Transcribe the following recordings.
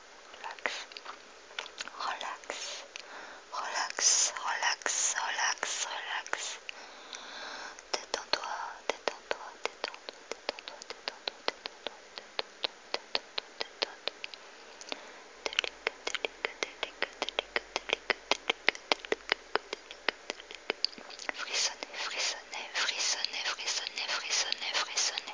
relax, relax, relax, relax, relax, relax. Détends-toi, détends-toi, détends-toi, détends-toi, détends-toi, détends-toi, détends-toi, toi Frissonnez, frissonnez, frissonnez, frissonnez, frissonnez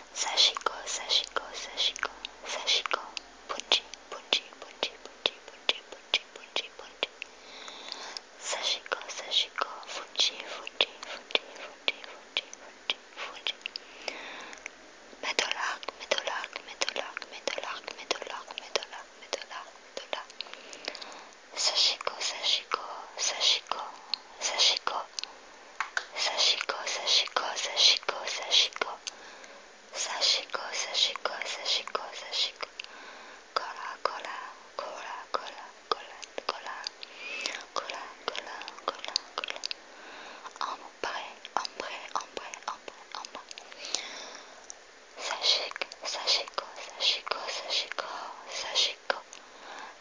Sachiko, Sachiko, Sachiko, Sachiko, Punji, Punji, Punji, Punji, Punji, Punji, Punji, Sachiko, Sachiko, Funji, Funji, Funji, Funji, Funji, Funji, Funji, Médolac, Médolac, Médolac, Médolac, Médolac, Médolac, Sachiko, Sachiko, Sachiko, Sachiko, Sachiko, Sachiko, Sachiko, Sachiko. Sachiko, Sachiko, Sachiko, Sachiko. Cola, cola, cola, cola, cola, cola. Cola, cola, cola, cola. Ombre, ombre, ombre, ombre, ombre. Sachiko, Sachiko, Sachiko, Sachiko, Sachiko.